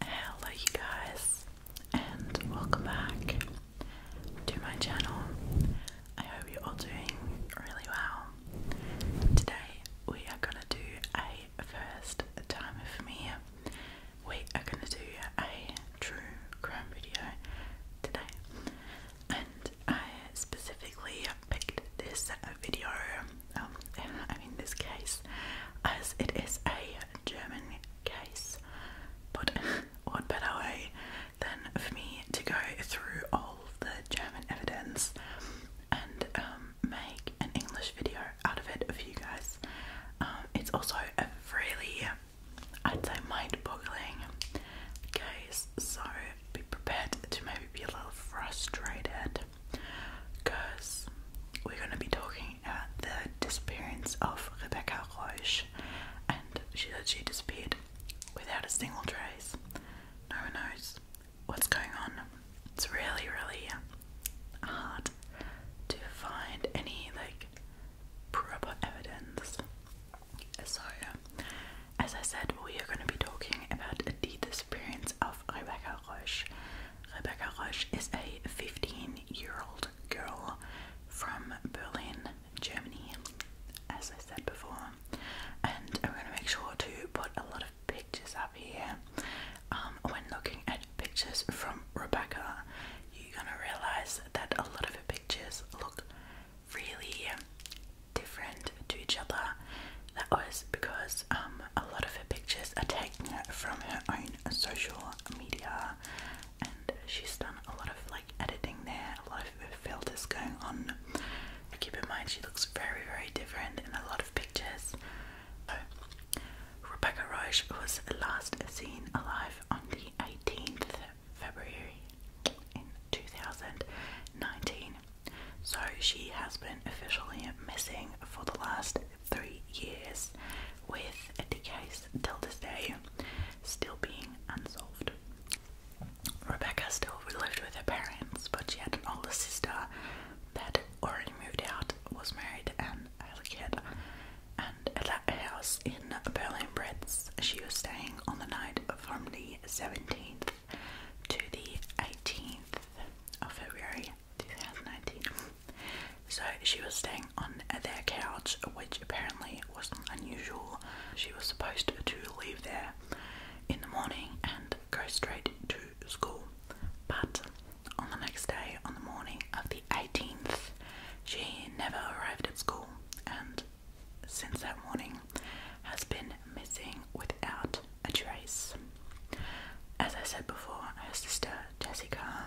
Hello, you guys, and welcome back to my channel. I hope you're all doing really well. Today, we are gonna do a first time for me. We are gonna do a true crime video today, and I specifically picked this video um, I mean this case as it is a German case but what better way than for me to go through all the German evidence and um, make an English video out of it for you guys um, it's also a really I'd say mind-boggling case so be prepared to maybe be a little frustrated because we're going to be talking about the disappearance of Rebecca Roche, and she said she disappeared without a single trace. No one knows what's going on. It's really, really hard to find any like proper evidence. So, as I said, we are going to be talking about the disappearance of Rebecca Roche. Rebecca Roche is a 15 year old girl from Berlin, Germany, as I said before. And I'm going to make sure to put a lot of pictures up here. Um, when looking at pictures from Rebecca, you're going to realize that a lot of her pictures look really different to each other that was because um, a lot of her pictures are taken from her own social media, and she's done a lot of like editing there, a lot of filters going on. Keep in mind, she looks very, very different in a lot of pictures. Rebecca Roche was last seen alive on the 18th February in 2019. So she has been officially missing for the last three years, with the case till this day still being unsolved. Rebecca still lived with her parents, but she had an older sister that already moved out, was married, and had a kid. And at that house in Berlin Bretz, she was staying on the night from the 17th to the 18th of February 2019. So she was staying on their couch, which apparently wasn't unusual. She was supposed to leave there in the morning and go straight to school. But on the next day, on the morning of the 18th, she never arrived at school and since that morning has been missing without a trace. As I said before, her sister Jessica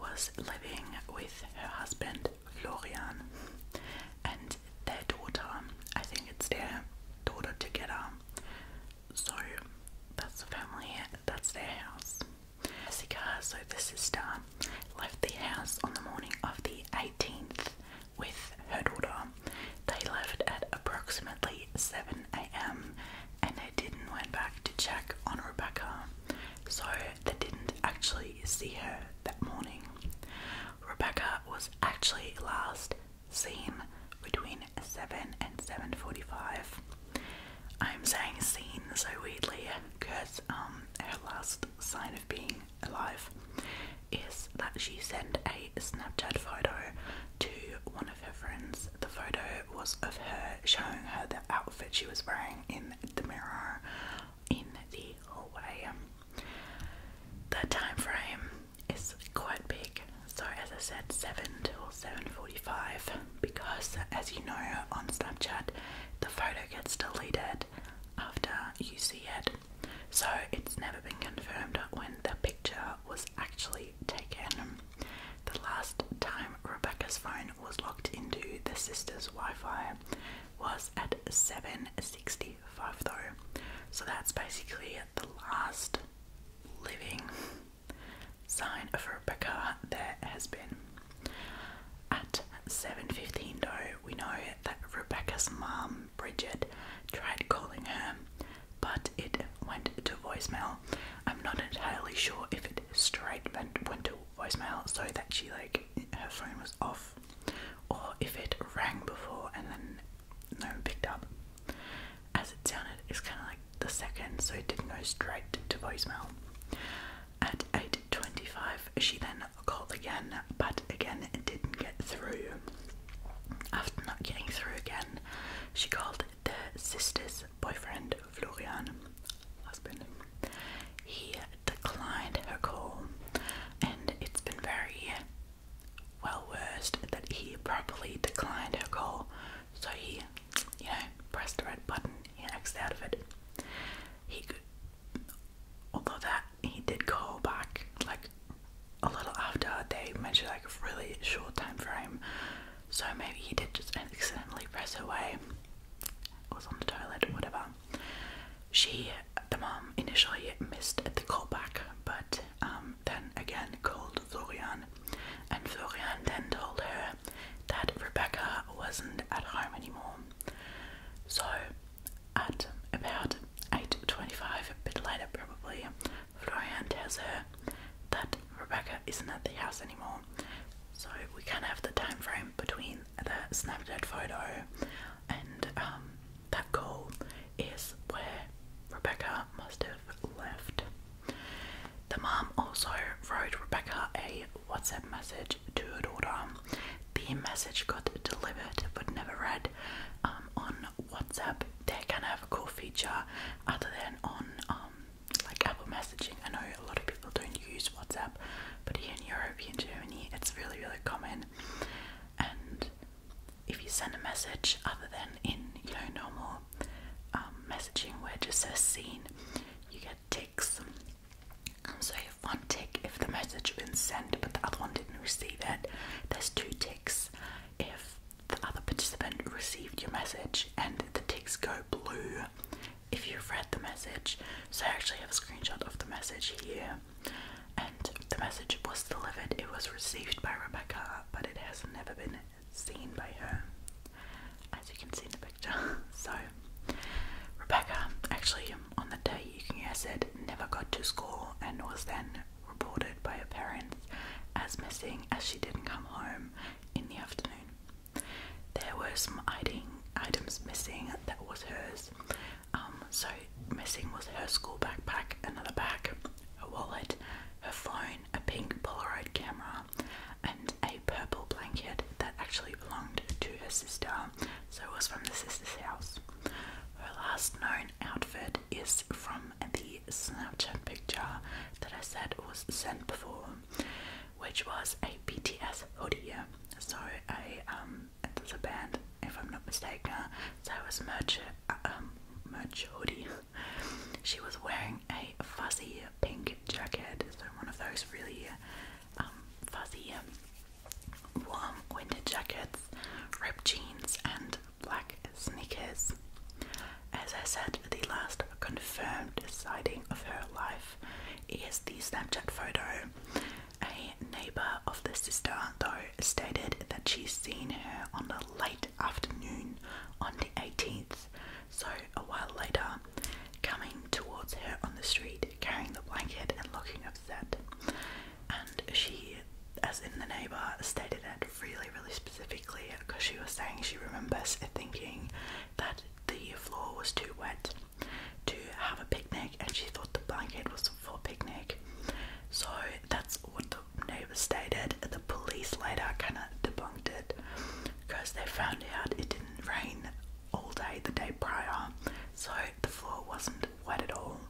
was living with her husband Lorian, and their daughter. I think it's their daughter together. So that's the family, that's their house. Jessica, so the sister, left the house on the morning of the 18th with her daughter. They left at approximately 7 am, and I didn't went back to check on Rebecca, so they didn't actually see her that morning. Rebecca was actually last seen between 7 and 7.45. I'm saying seen so weirdly because um, her last sign of being alive is that she sent a Snapchat photo to one of of her friends. The photo was of her showing her the outfit she was wearing in the mirror in the hallway. The time frame is quite big, so as I said, seven till seven forty-five. Because, as you know, on Snapchat, the photo gets deleted after you see it, so it's never been confirmed when the picture was actually taken. The last time Rebecca's phone was locked into the sister's Wi-Fi was at 7:65 though. So that's basically the last living sign of Rebecca there has been. At 7:15 though, we know that Rebecca's mum Bridget tried calling her but it went to voicemail. I'm not entirely sure if it straight went, went to voicemail so that she like her phone was off or if it rang before and then no one picked up. As it sounded, it's kind of like the second, so it didn't go straight to voicemail. At 8.25, she then called again, but again it didn't get through. After not getting through again, she called the sister's boyfriend, Florian, husband, he declined her call, and it's been very well versed that he properly declined her call. So he, you know, pressed the red button. He exited out of it. He could, although that he did go back like a little after they mentioned like a really short time frame so maybe he did just accidentally press away, was on the toilet or whatever. She, the mom, initially missed the callback, but um, then again called Florian, and Florian then told her that Rebecca wasn't at home anymore. So, at about 8:25, a bit later probably, Florian tells her that Rebecca isn't at the house anymore, so we can have the time frame between the Snapchat photo and um, that call is where Rebecca must have left. The mom also wrote Rebecca a WhatsApp message to her daughter. The message got delivered but never read um, on WhatsApp. They can have a cool feature other than on um, like Apple messaging. I know a lot of people don't use WhatsApp, but here in Europe, here in Germany, it's really, really common. And if you send a message other than in you know normal um, messaging where just says seen, you get ticks. Um, so you have one tick if the message has been sent but the other one didn't receive it. There's two ticks if the other participant received your message and the ticks go blue if you've read the message. So I actually have a screenshot of the message here. And the message was delivered, it was received by Rebecca, but it has never been seen by her, as you can see in the picture. So, Rebecca, actually, on the day Yukiya said, never got to school and was then reported by her parents as missing as she didn't come home in the afternoon. There were some items missing that was hers. Um, so, missing was her school backpack, another bag, a wallet, her phone, a pink Polaroid camera, and a purple blanket that actually belonged to her sister, so it was from the sister's house. Her last known outfit is from the Snapchat picture that I said was sent before, which was a BTS hoodie. So I um, it was a band, if I'm not mistaken. So it was merch, uh, um, merch hoodie. she was wearing a fuzzy pink jacket, so one of those really um, fuzzy, warm winter jackets, ripped jeans, and black sneakers. As I said, the last confirmed sighting of her life is the Snapchat photo. A neighbour of the sister, though, stated that she's seen her on the late afternoon on the 18th, so a while later, coming towards her on the street, carrying the blanket and looking upset. And she, as in the neighbour, stated that really, really specifically because she was saying she remembers thinking that the floor was too wet to have a picnic and she thought the blanket was for picnic. So that's what the neighbours stated. The police later kind of debunked it because they found out it didn't rain all day the day prior, so the floor wasn't wet at all.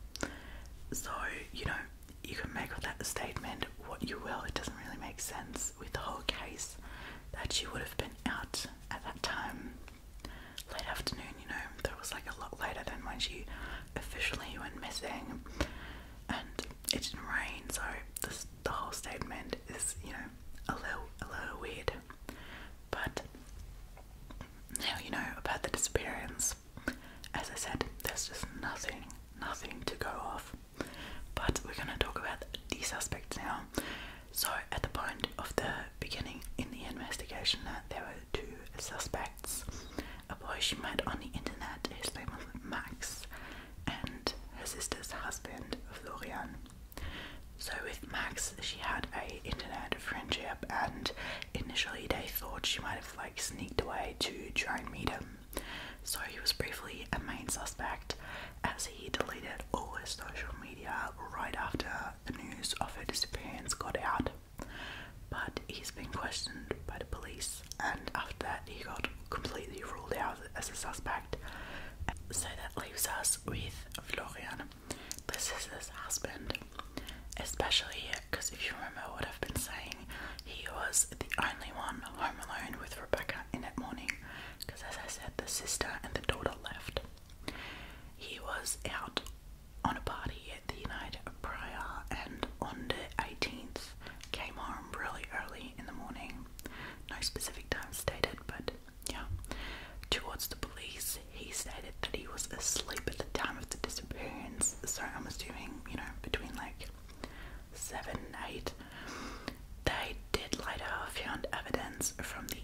So, you know, you can make of that statement what you will. It doesn't really make sense with the whole case that she would have been out at that time, late afternoon. You know, that was like a lot later than when she officially went missing, and it didn't rain. So this, the whole statement is, you know, a little a little weird. But now you know about the disappearance. As I said, there's just nothing, nothing to go off. But we're going to talk about these suspects now. So, at the point of the beginning in the investigation, there were two suspects a boy she met on the internet, his name was Max, and her sister's husband, Florian. So, with Max, she had a internet friendship, and initially they thought she might have like sneaked away to join and meet so he was briefly a main suspect as he deleted all his social media right after the news of her disappearance got out. But he's been questioned by the police, and after that, he got completely ruled out as a suspect. So that leaves us with Florian, is his husband, especially because if you remember what I've been saying he was the only one home alone with Rebecca in that morning because, as I said, the sister and the daughter left. He was out on a party at the night prior and on the 18th came home really early in the morning. No specific time stated, but yeah. Towards the police, he stated that he was asleep at the time of the disappearance, so I'm assuming, you know, between like seven eight. they did later found evidence from the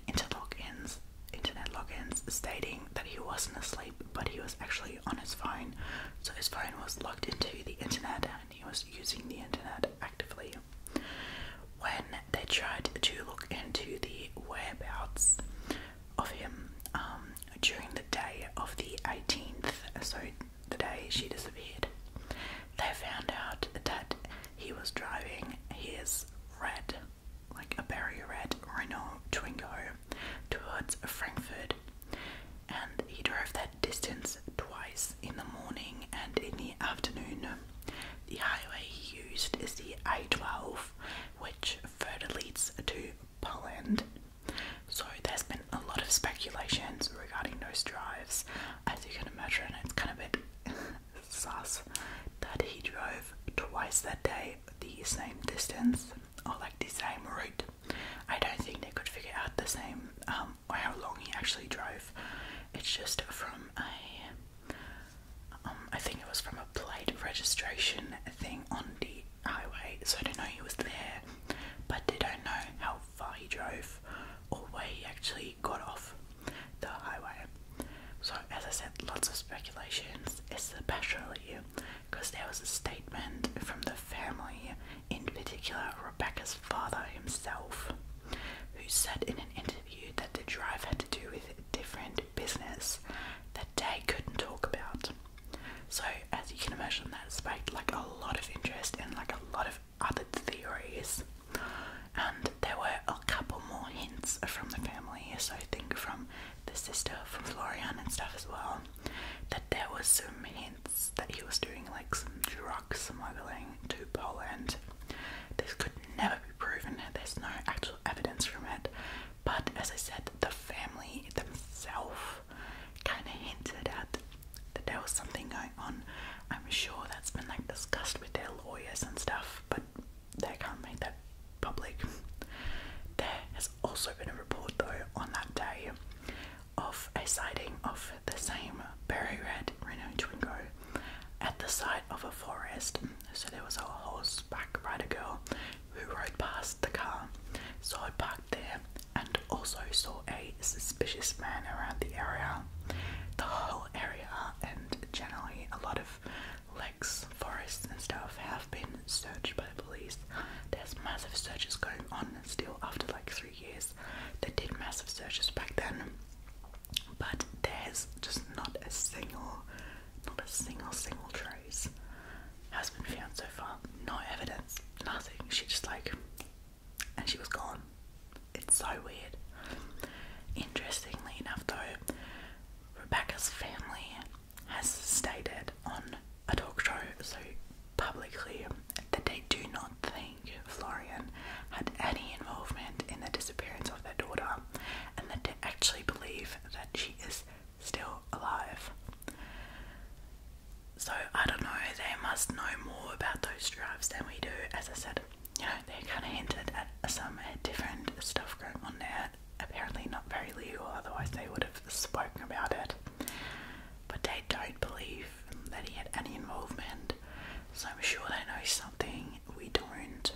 internet logins stating that he wasn't asleep, but he was actually on his phone. So his phone was logged into the internet and he was using the internet actively. When they tried to look into the whereabouts of him um, during the day of the 18th, so the day she disappeared. They found out that he was driving his red, like a berry red Renault Twingo towards Frankfurt, and he drove that distance twice in the morning and in the afternoon. The highway he used is the A12, which further leads to Poland, so there's been a lot of speculations regarding those drives. As you can imagine, it's kind of a bit sus that he drove twice that day the same distance or like the same route. I don't think they could figure out the same um, or how long he actually drove. It's just from a, um, I think it was from a plate registration thing on the highway, so I don't know he was there, but they don't know how far he drove or where he actually got off the highway. So, as I said, lots of speculations, It's especially because there was a statement from the family, in particular Rebecca's father himself, who said in an interview that the drive had to do with different business that they couldn't talk about. So, as you can imagine, that sparked like a lot of interest and like a lot of of theories, and there were a couple more hints from the family, so I think from the sister, from Florian and stuff as well, that there was some hints that he was doing like some drug smuggling to Poland. This could never be proven, there's no actual evidence from it, but as I said, the family themselves kind of hinted at that there was something going on. I'm sure that's been like discussed with their lawyers and stuff, but they can't make that public. There has also been a report though on that day of a sighting of the same berry red Rhino Twingo at the site of a forest. So there was a horseback rider girl who rode past the car, saw it parked there, and also saw a suspicious man around the area, the whole area, and generally a lot of lakes, forests, and stuff have been searched by the police. There's massive searches going on still after like three years. They did massive searches back then, but there's just not a single, not a single, single trace has been found so far. No evidence, nothing. She just like and she was gone. It's so weird. Interestingly enough, though, Rebecca's family has stated on a talk show, so publicly, that they do not think Florian had any involvement in the disappearance of their daughter and that they actually believe that she is still alive. So I don't know, they must know more about those drives than we do. As I said, you know, they kind of hinted at some different stuff going on there. Apparently not very legal, otherwise they would have spoken about it. But they don't believe that he had any involvement, so I'm sure they know something we don't.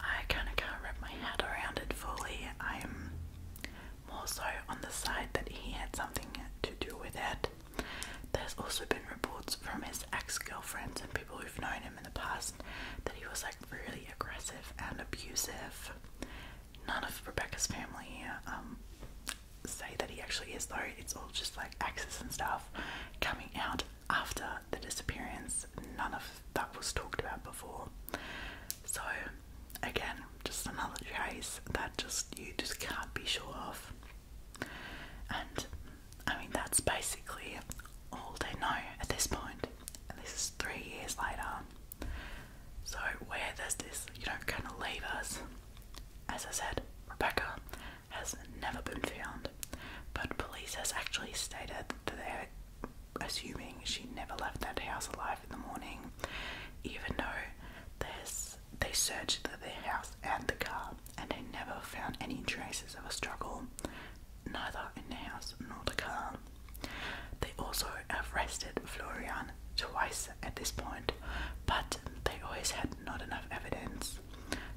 I kind of can't wrap my head around it fully. I'm more so on the side that he had something to do with it. There's also been reports from his ex girlfriends and people who've known him in the past that he was like really aggressive and abusive. None of Rebecca's family um, say that he actually is, though, it's all just like access and stuff coming out after the disappearance. None of that was talked about before. So again, just another choice that just you just can't be sure of. And I mean, that's basically all they know at this point. And this is three years later. So, where does this, you know, kind of leave us? As I said, Rebecca has never been found, but police has actually stated that they're assuming she never left that house alive in the morning, even though there's they searched the house and the car, and they never found any traces of a struggle, neither in the house nor the car. They also arrested Florian twice at this point, but they always had not enough evidence,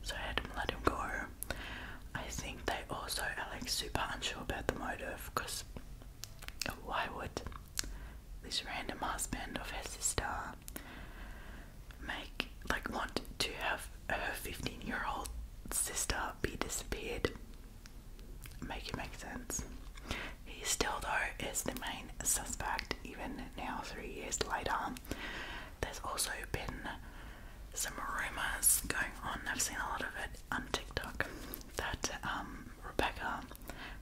so I had to let him go. I think they also are like super unsure about the motive because why would this random husband of her sister make like want to have her 15 year old sister be disappeared? Make it make sense. He still though is the main suspect even now three years later. There's also been some rumors going on. I've seen a lot of it on TikTok that um, Rebecca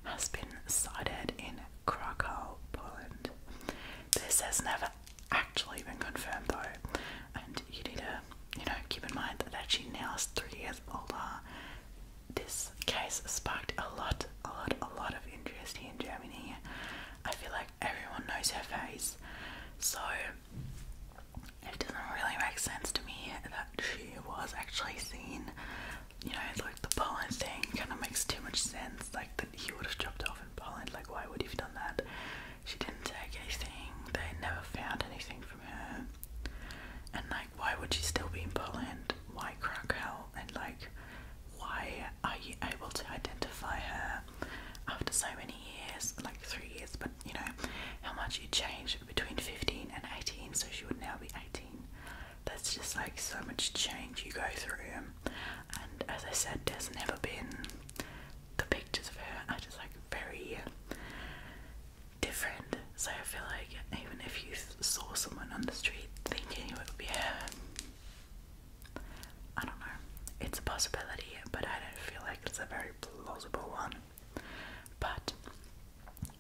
has been cited in Krakow, Poland. This has never actually been confirmed though, and you need to, you know, keep in mind that actually now is three years older. This case sparked a lot, a lot, a lot of interest here in Germany. I feel like everyone knows her face, so it doesn't really make sense to me that she was actually seen you know, like the Poland thing kind of makes too much sense. Like that he would have dropped off in Poland. Like why would he have done that? She didn't take anything. They never found anything from her. And like, why would she still be in Poland? Why Krakow? And like, why are you able to identify her after so many years? Like three years, but you know, how much you changed between 15 and 18. So she would now be 18. That's just like so much change you go through, and as I said, there's never been the pictures of her I just like very different. So I feel like even if you saw someone on the street thinking it would be her, I don't know. It's a possibility, but I don't feel like it's a very plausible one. But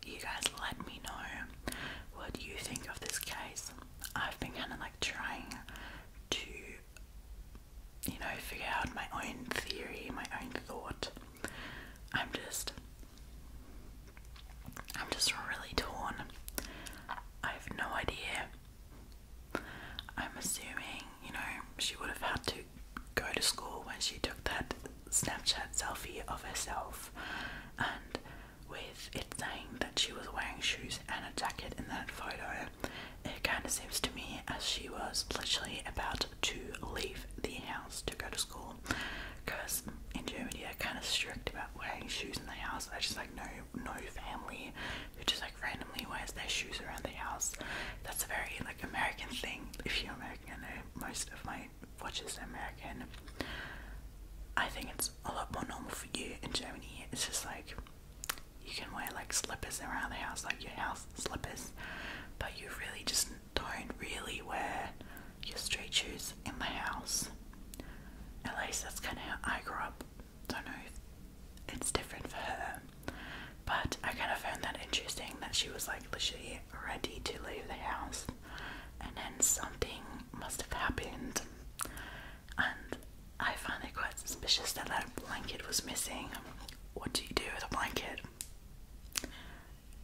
you guys let me know what you think of this case. I've been kind of like trying to, you know, figure out my own theory, my own thought. I'm just, I'm just really torn. I have no idea. I'm assuming, you know, she would have had to go to school when she took that Snapchat selfie of herself, and with it saying that she was wearing shoes and a jacket in that photo, it kind of seems to me as she was literally about to leave the house to go to school. Because in Germany, they're kind of strict about wearing shoes in the house. I just like no no family who just like randomly wears their shoes around the house. That's a very like American thing. If you're American, I know most of my which American, I think it's a lot more normal for you in Germany. It's just like you can wear like slippers around the house, like your house slippers, but you really just don't really wear your street shoes in the house. At least that's kind of how I grew up. Don't know it's different for her, but I kind of found that interesting that she was like literally ready to leave the house, and then something must have happened, and I find it quite suspicious that that blanket was missing. What do you do with a blanket?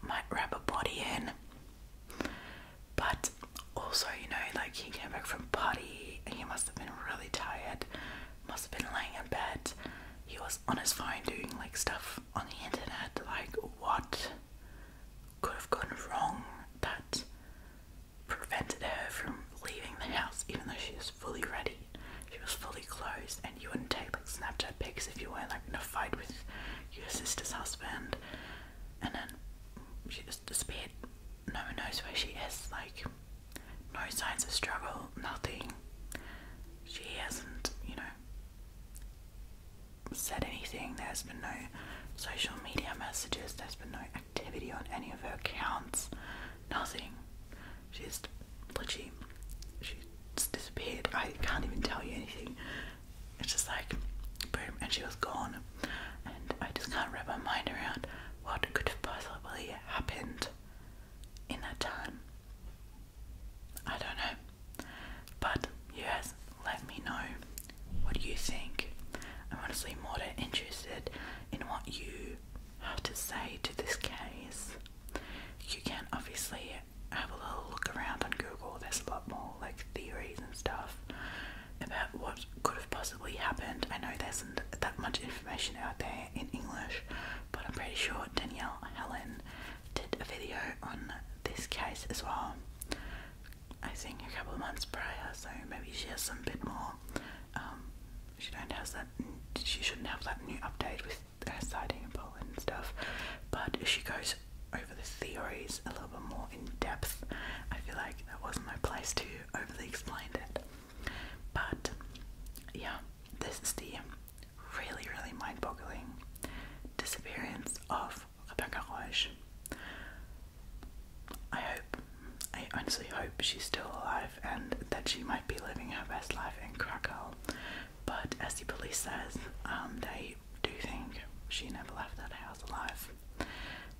Might wrap a body in, but also, you know, like he came back from party and he must have been really tired, must have been laying in bed. He was on his phone doing like stuff on the internet, like what? could have gone wrong that prevented her from leaving the house, even though she was fully ready. She was fully clothed, and you wouldn't take like Snapchat pics if you weren't like in a fight with your sister's husband. And then she just disappeared. No one knows where she is. Like, no signs of struggle, nothing. She hasn't, you know, said anything, there's been no social media messages, there's been no activity on any of her accounts, nothing. She's literally, she's disappeared. I can't even tell you anything. It's just like, boom, and she was gone. And I just can't wrap my mind around what could have possibly happened in that time. I don't know. But yes, let me know what you think. I'm honestly more interested in what you have to say to this case. You can obviously have a little look around on Google, there's a lot more like theories and stuff about what could have possibly happened. I know there isn't that much information out there in English, but I'm pretty sure Danielle Helen did a video on this case as well. I think a couple of months prior, so maybe she has some bit more. Um, she don't has that. She shouldn't have that new update with her sighting in Poland and stuff. But she goes over the theories a little bit more in depth. I feel like that wasn't my place to overly explain it. But yeah, this is the really, really mind-boggling disappearance of Rebecca Roesch. I hope, I honestly hope she's still alive and that she might be living her best life in Krakow. But as the police says, um, they do think she never left that house alive.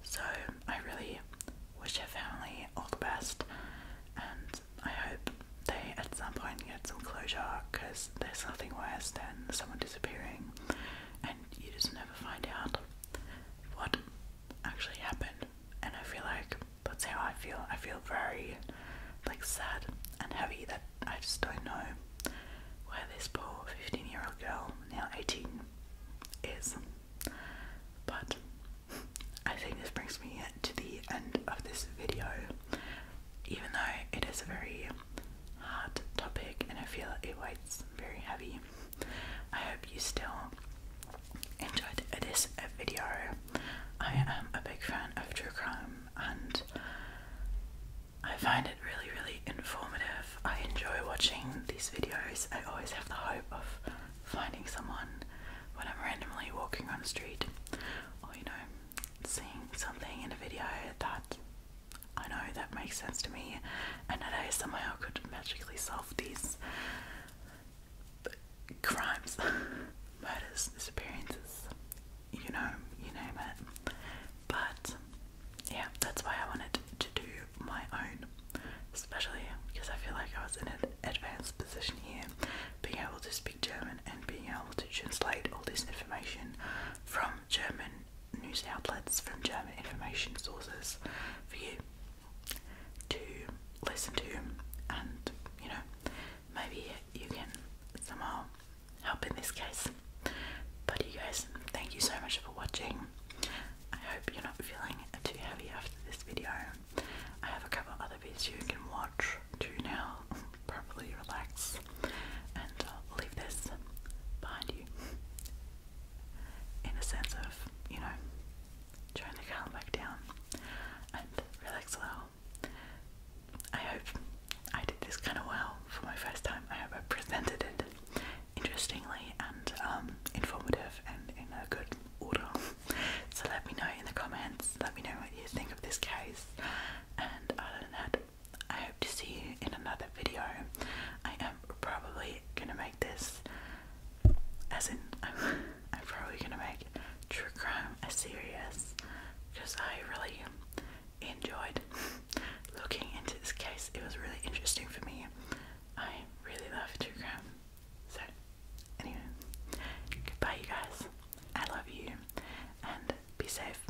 So I really wish her family all the best and I hope they at some point get some closure because there's nothing worse than someone disappearing you just never find out what actually happened. And I feel like that's how I feel. I feel very like sad and heavy that I just don't know where this poor 15 year old girl, now 18, is. But I think this brings me to the end of this video, even though it is a very hard topic, and I feel like it weighs very heavy. I hope you still enjoyed this video. I am a big fan of true crime, and I find it really, really informative. I enjoy watching these videos. I always have the hope of finding someone when I'm randomly walking on the street, or you know, seeing something in a video that I know that makes sense to me, and at ASMR I could magically solve these crimes, murders, disappearances, you know, you name it. But yeah, that's why I wanted to do my own, especially because I feel like I was in an advanced position here, being able to speak German and being able to translate all this information from German news outlets, from German information sources for you to listen to, and you know, maybe you can somehow help in this case. But you guys, thank you so much for watching. I hope you're not feeling too heavy after this video. I have a couple other videos you can watch to now, probably relax and leave this behind you in a sense of, you know, trying to calm back down and relax a little. I hope I did this kind of well for my first time. I hope I presented it interestingly and um, informative and in a good order. So let me know in the comments, let me know what you think of this case. And other than that, I hope to see you in another video. I am probably gonna make this, as in, I'm, I'm probably gonna make true crime a series because I really enjoyed looking into this case. It was really interesting for me. I really love true crime. So, anyway, goodbye, you guys. I love you and be safe.